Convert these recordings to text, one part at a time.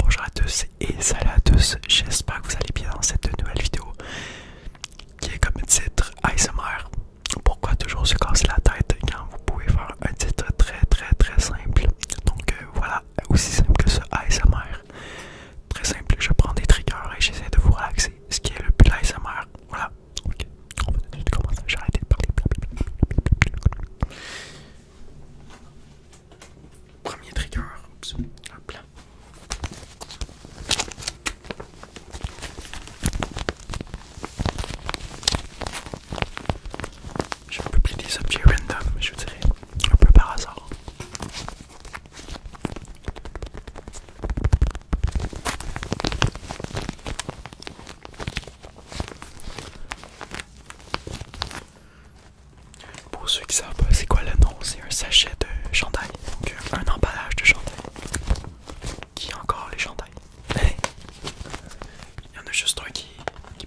Bonjour à tous et salut à tous, j'espère que vous allez bien dans cette nouvelle vidéo qui est comme titre ASMR. Pourquoi toujours se casser la tête quand vous pouvez faire un titre très très très simple. Donc euh, voilà, aussi simple que ce ASMR. Très simple, je prends des triggers et j'essaie de vous relaxer, ce qui est le but de Voilà, ok, on va tout commencer, j'ai arrêté de parler. Premier trigger. Oups. Hop là. Je publie des objets random, je dirais, un peu par hasard. Pour ceux qui savent c'est quoi nom c'est un sachet de chandail, donc un emballage de chandail. Qui encore les chandails? Il y en a juste un qui, qui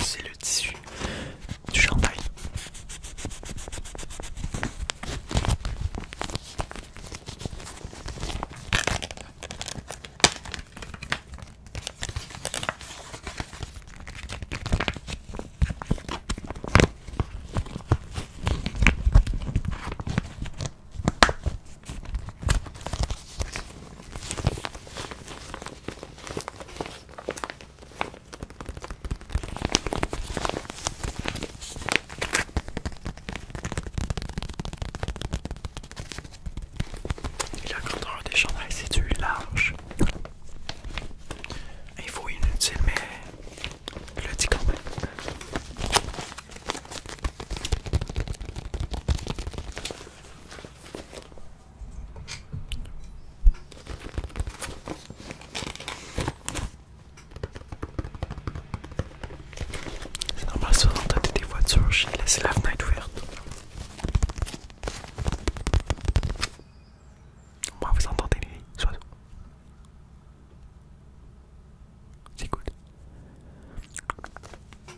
C'est le tissu du chandail. La grandeur des chandelles, c'est du large. il faut inutile, mais le dit quand c'est normal, souvent quand t'as des voitures, je laisse la fenêtre ouverte. Moi, vous entendez les oiseaux. C'est cool.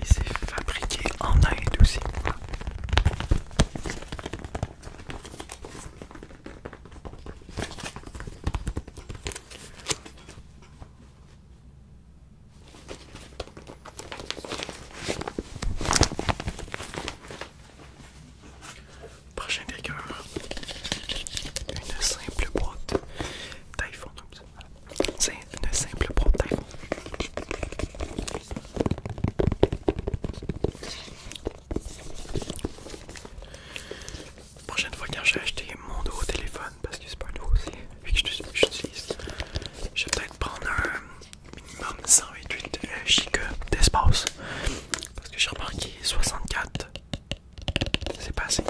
Et c'est fabriqué en Inde aussi. Prochain dégât, une simple boîte d'iPhone c'est une simple La Prochaine fois que je vais acheter mon nouveau téléphone, parce que c'est pas nouveau aussi, vu que j'utilise, je vais peut-être prendre un minimum 128 euh, Go d'espace. Parce que j'ai remarqué 64, c'est pas assez.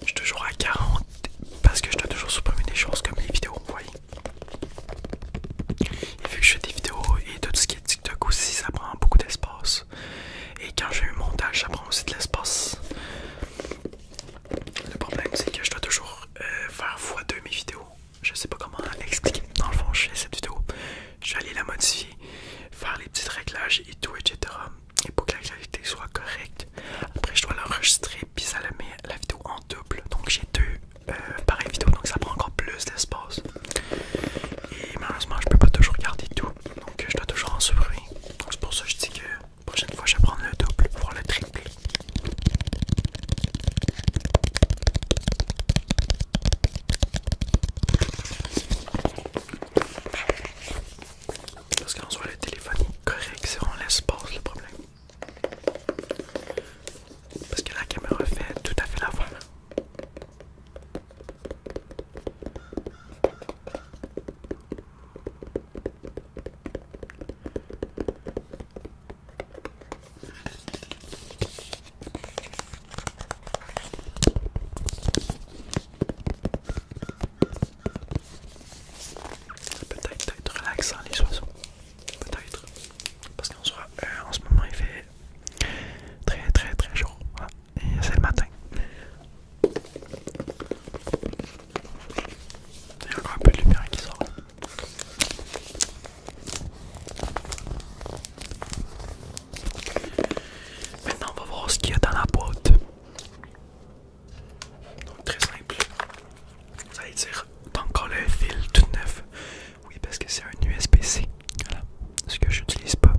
Je suis toujours à 40 parce que je dois toujours supprimer des choses comme les vidéos, vous voyez. Et vu que je fais des vidéos et tout ce qui est TikTok aussi, ça prend beaucoup d'espace. Et quand j'ai eu un montage, ça prend aussi de l'espace. Le problème, c'est que je dois toujours euh, faire fois 2 mes vidéos. Je sais pas comment expliquer. Dans le fond, je fais cette vidéo je vais aller la modifier, faire les petits réglages et tout, etc. Et pour que la qualité soit correcte, après je dois l'enregistrer, puis ça la met la vidéo en double. Donc j'ai deux euh, pareilles vidéos, donc ça prend encore plus d'espace. Et malheureusement, je peux pas toujours garder tout, donc je dois toujours en supprimer Donc c'est pour ça que je dis que la prochaine fois, je vais prendre le double, voire le triple. Parce soit le téléphone est correct, c'est vraiment l'espace le problème. Parce que la caméra fait tout à fait la voix. Peut-être être relaxant les oiseaux. Peut-être. Parce qu'en sera euh, en ce moment, il fait très très très chaud. Et c'est le matin. Il y a encore un peu de lumière qui sort. Maintenant, on va voir ce qu'il y a dans la boîte. Donc, très simple. Vous allez dire, t'as encore le fil tout neuf. Oui, parce que c'est un USB-C. Voilà. Ce que je n'utilise pas.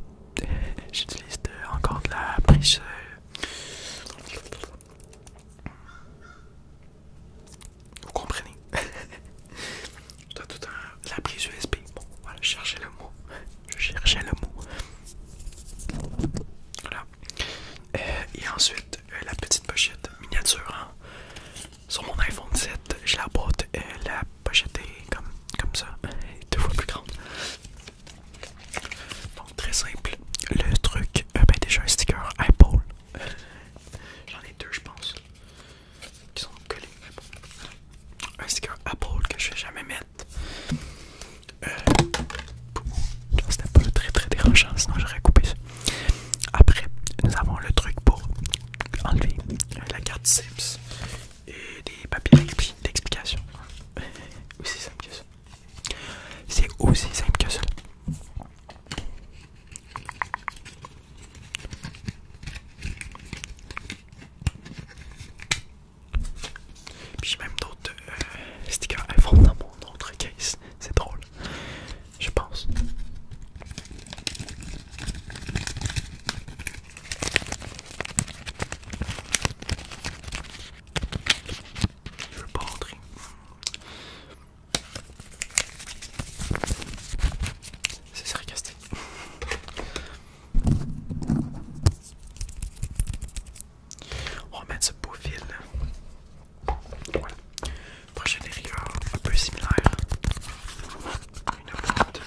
J'utilise encore de la prise. Euh. Vous comprenez? tout un... la prise USB. Bon, voilà, je cherchais le mot. Je cherchais le mot. Voilà. Euh, et ensuite, euh, la petite pochette miniature. Hein. Sur mon iPhone 7, je la boîte, euh, la pochette est comme, comme ça, deux fois plus grande. Donc très simple. Le truc, ben déjà un sticker Apple. J'en ai deux, je pense qui sont collés. Bon. Un sticker que je vais jamais mettre. C'est un peu très très dérangeant, sinon j'aurais coupé ça. Après, nous avons le truc pour enlever la carte SIMS et des papiers d'explication. Aussi simple que ça. C'est aussi simple que ça. Puis j'ai même d'autres euh, stickers à fond dans mon autre case. C'est drôle, je pense. Je veux pas rentrer. C'est sarcastique. On va mettre ce beau fil. Voilà. Prochain rigueur un peu similaire. Une boîte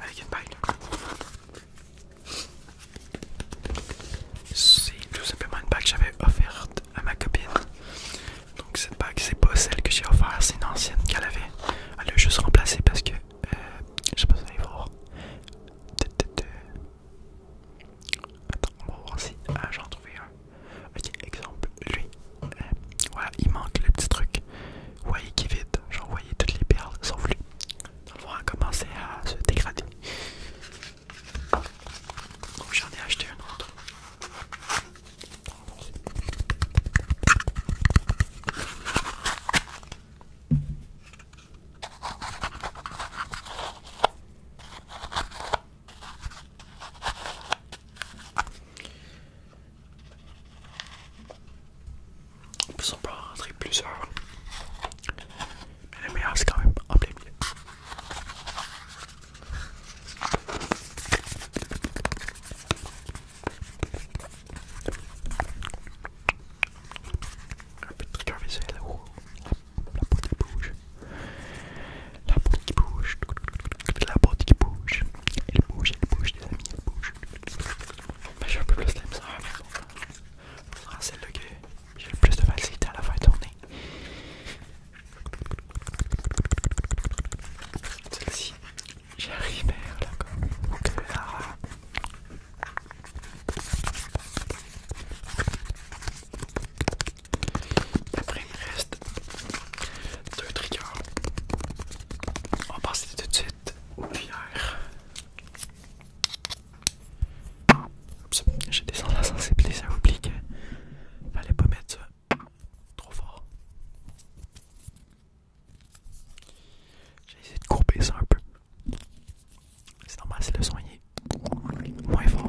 avec une bague. C'est tout simplement une bague que j'avais offerte à ma copine. Donc cette bague, c'est pas celle que j'ai offerte, c'est une ancienne qu'elle avait. Elle l'a juste remplacée parce que euh, je sais pas si vous allez voir. Attends, on va voir si. Ah, j'en trouvé un. Ok, exemple, lui. Euh, voilà, il manque le petit truc. Vous voyez qui vide. J'en voyais toutes les perles sauf lui. va commencer à se dégrader. Donc, j'en ai acheté un autre peut s'en on un truc plus plusieurs. Mais le meilleur c'est quand même en plein milieu. Un peu de visuel, oh, la, bouteille qui bouge, la bouteille qui bouge, la bouteille qui bouge, elle bouge, elle bouge, les amis, elle bouge. Mais bah, j'ai un peu plus slim. ça, le gars sera j'ai le plus de facilité à la faire tourner. Celle-ci, J'arrive à là comme là. Après, il me reste deux triggers. On va passer tout de suite aux cuillères. Oups, j'ai descendu la sensibilité, ça oublie que fallait pas mettre ça trop fort. J'ai essayé de couper ça un peu. C'est normal, c'est le soigner Moins fort.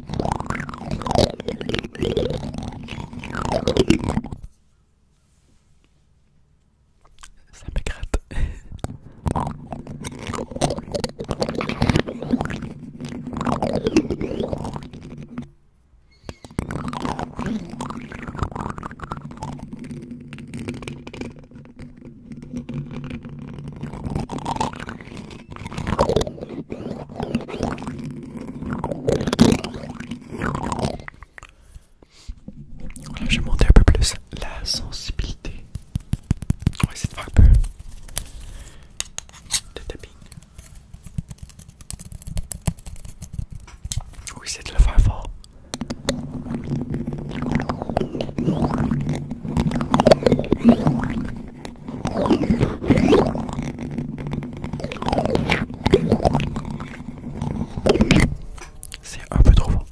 Ça me gratte je vais monter un peu plus la sensibilité. On va de faire un peu de tapping. Oui, de le faire fort. C'est un peu trop fort.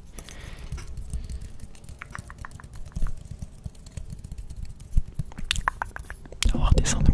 Alors, va un peu.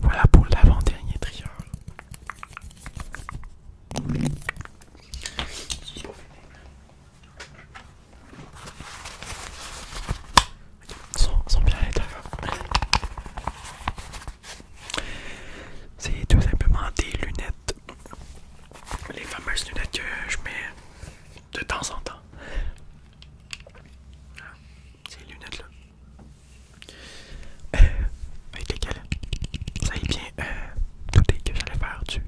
Voilà pour l'avant-dernier triangle sont, bien à C'est tout simplement des lunettes. Les fameuses lunettes que je mets de temps en temps. Ah, ces lunettes-là. Euh, avec lesquelles, vous est bien, euh, que j'allais faire du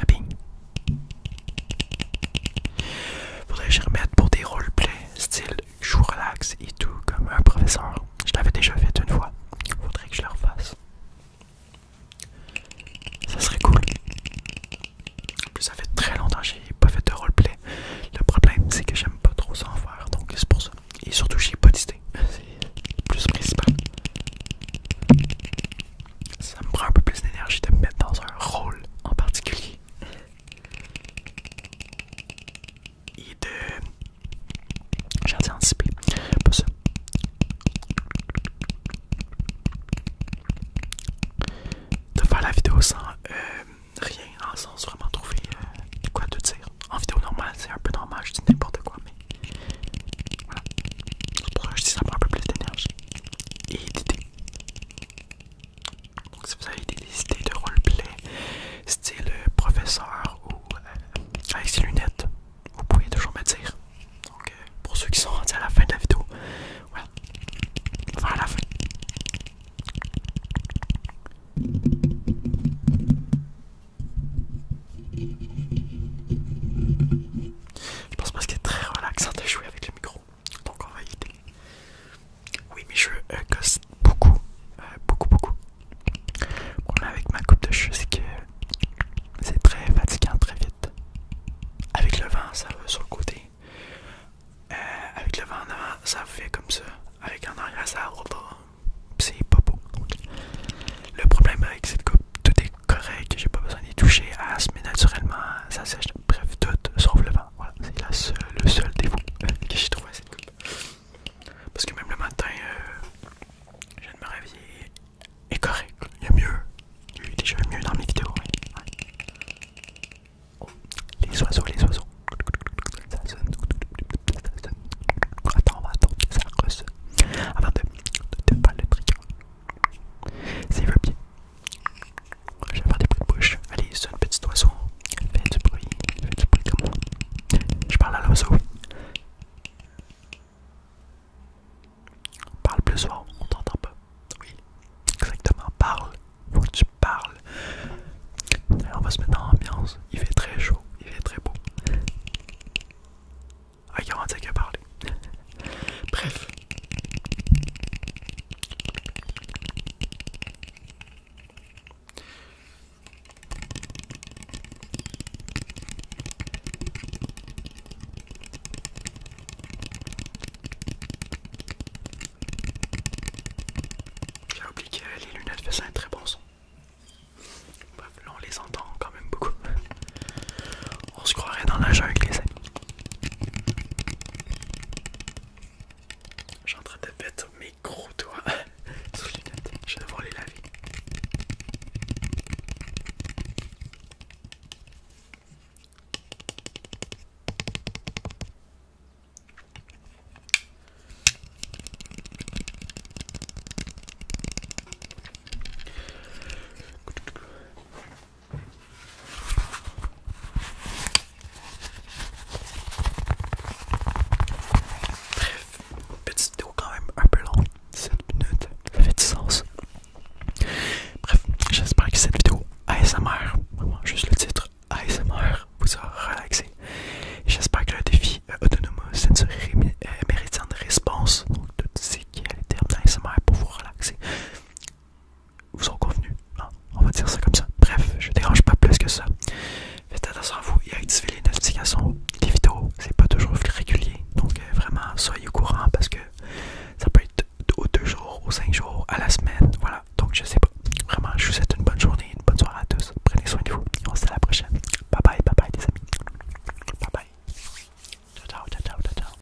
tapping. Faudrait que je remette pour des play style joue relax et tout, comme un professeur. Je l'avais déjà fait une fois. Faudrait que je le refasse. Ça serait cool. En plus, ça fait très longtemps que j'ai pas fait de roleplay. Le problème, c'est que j'aime pas trop s'en faire, donc c'est pour ça. Et surtout, j'ai pas d'idée. C'est plus principal. Ça me prend un peu plus d'énergie de me mettre dans un rôle en particulier et de. J'ai Pas De faire la vidéo sans euh, rien, sans vraiment trouver euh, quoi te dire. En vidéo normale, c'est un peu normal, je dis n'importe quoi, mais. Voilà. je dis ça prend un peu plus d'énergie et d'idées. Donc si vous avez des, de roleplay, style euh, professeur ou euh, avec ses lunettes, vous pouvez toujours me dire. Donc euh, pour ceux qui sont rendus à la fin de la vidéo, voilà, à la fin. Je pense parce qu'il est très relaxant de jouer avec le micro. Donc on va y Oui, mes cheveux gosse beaucoup, euh, beaucoup, beaucoup. avec ma coupe de cheveux, c'est que c'est très fatigant très vite. Avec le vent, ça va sur le côté. Euh, avec le vent en avant, ça fait comme ça. Avec en arrière, ça repas. C'est pas beau. Le problème avec cette coupe, tout est correct, j'ai pas besoin d'y toucher à mais naturellement, ça sèche bref, tout sauf le vin. Voilà, c'est seule, le seul que j'ai trouvé Parce que même le matin, euh, je viens de me réveiller. Et correct, il y a mieux. Il déjà mieux dans mes vidéos. Oh, les oiseaux, les oiseaux. Attends, on va attendre. Ça Avant de, le trigger. C'est veut bien. Je vais faire des bruits de bouche. Allez, c'est une petite oiseau. Fais du bruit. Fais du bruit comme moi. Je parle à l'oiseau. Parle plus fort, on t'entend pas. Oui, exactement. Parle. Faut que tu parles. On va se mettre en ambiance. Il fait très chaud. Il fait très beau. Ok, ah, on va dire que parlé. Bref. J'ai oublié les lunettes faisaient un très bon son. Bref, on les entend quand même beaucoup. On se croirait dans la avec les amis. J'ai en train de mettre mes gros doigts sous les lunettes. Je vais devoir les laver. Bref, petite vidéo quand même un peu longue, 7 minutes, ça fait du sens. Bref, j'espère que cette vidéo ASMR, vraiment juste le titre ASMR, vous aura relaxé. J'espère que le défi euh, autonome, c'est euh, une réponse, donc de ce qui est les termes d'ASMR pour vous relaxer vous ont convenu. Hein. On va dire ça comme ça. Bref, je dérange pas plus que ça. Faites attention à vous et activez les notifications. Les vidéos, c'est pas toujours régulier. Donc euh, vraiment, soyez au courant parce que ça peut être aux deux jours, aux cinq jours, à la semaine. Voilà. Donc je sais pas. Vraiment, je vous souhaite une bonne journée, une bonne soirée à tous. Prenez soin de vous. on se dit à la prochaine. Bye bye, bye bye les amis. Bye bye. Ciao ciao ciao ciao ciao.